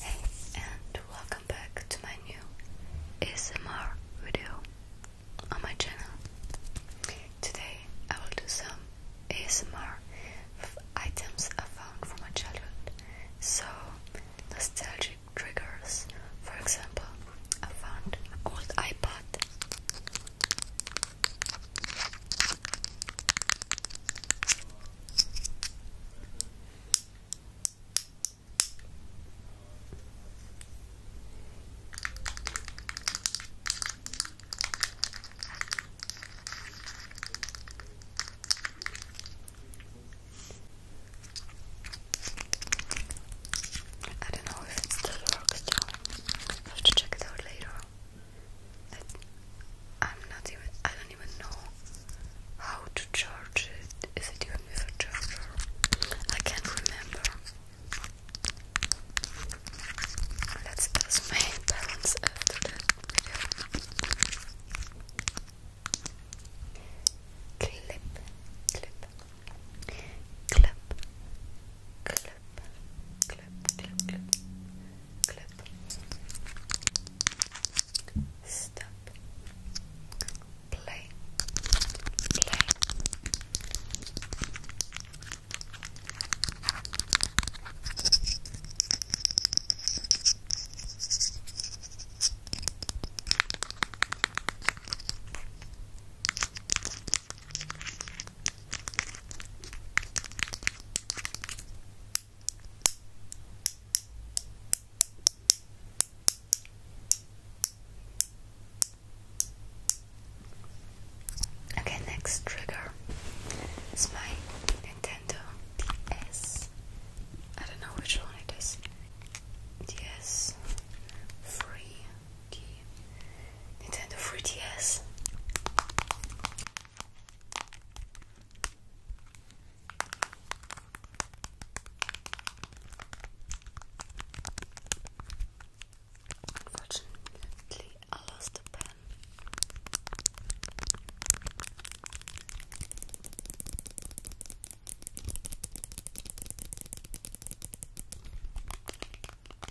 Hey, and welcome back to my new ASMR video on my channel. Today I will do some ASMR items I found from my childhood. So, nostalgic triggers. For example, I found an old iPod. I don't know if it still works, John. have to check it out later. I'm not even, I don't even know how to charge it. Is it even with a charger? I can't remember. Let's test my balance after that Clip, clip, clip, clip, clip, clip, play, play. Okay, next trigger is my Nintendo DS. I don't know which one it is. DS free the Nintendo 3DS. Unfortunately, I lost the pen.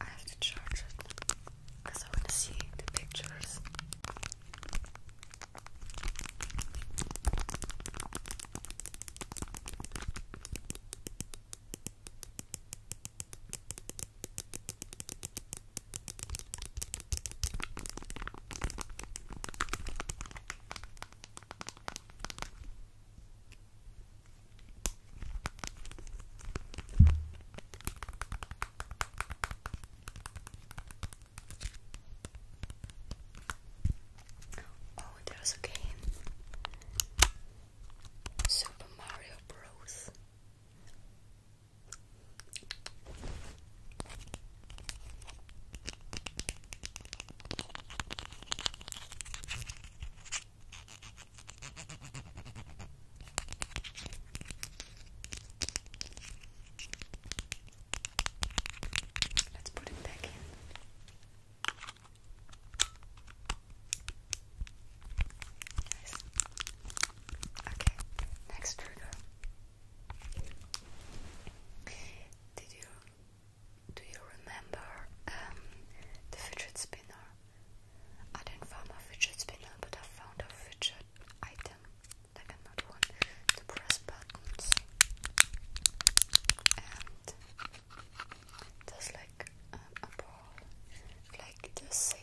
I have to charge it because I want to see the pictures. Oh, there's a game Super Mario Bros. Let's put it back in. Nice. Okay, next trigger. Did you do you remember um, the fidget spinner? I didn't find a fidget spinner, but I found a fidget item, like another one, to press buttons. And there's like um, a ball, like the save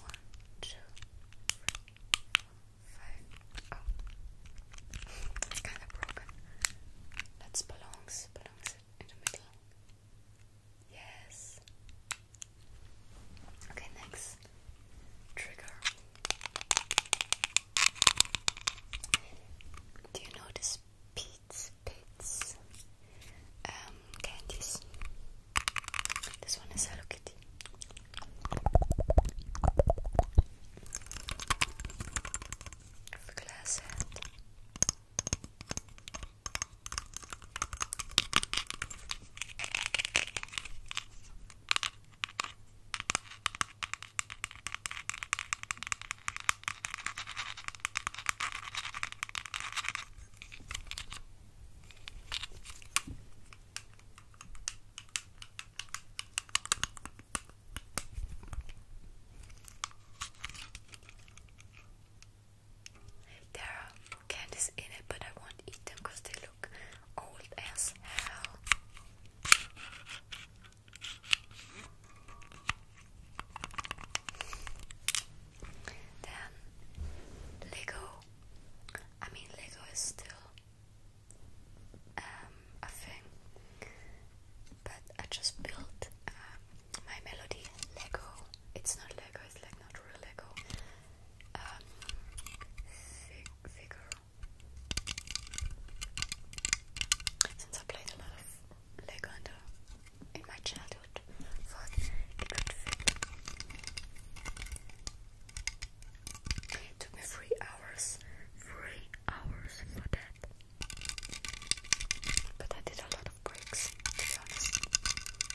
One, two, three, four, five. Oh, it's kind of broken. That's belongs. Belongs in the middle. Yes. Okay, next trigger. Do you notice Pete's Pete's um, candies? This one is Hello Kitty. glass there are candies in it, but I won't eat them because they look old as hell. Then Lego. I mean, Lego is still um, a thing, but I just built um, my Melody Lego. It's not Lego. It's like not real Lego. Um, figure since I played a lot of Lego in, my childhood, it took me three hours, three hours for that. But I did a lot of breaks,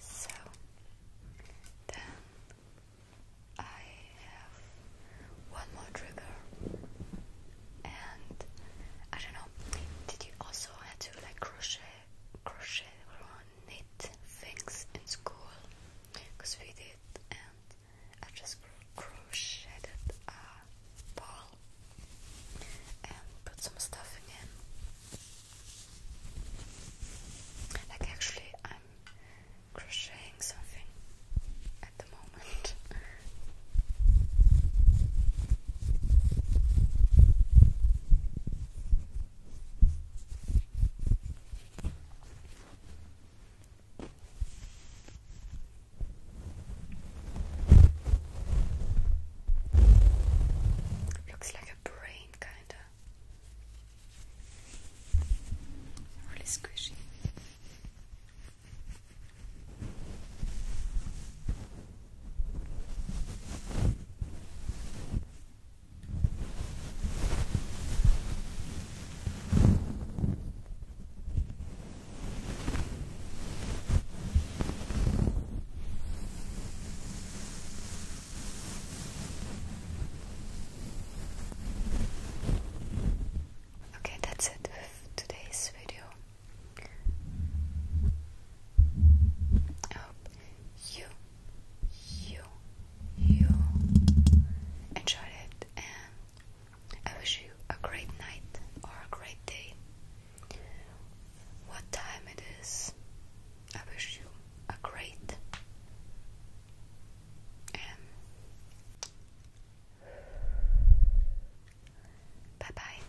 So then I have one more trigger, and I don't know. Did you also have to like crochet, crochet or knit things in school? Because we did, and i just crocheted a ball and put some stuffing in. Like actually I'm crocheting something at the moment. Looks like a brain, kinda. Really squishy. Okay, that's it with today's video. I hope you you you enjoyed it and I wish you a great night or a great day. What time it is? I wish you a great and bye bye.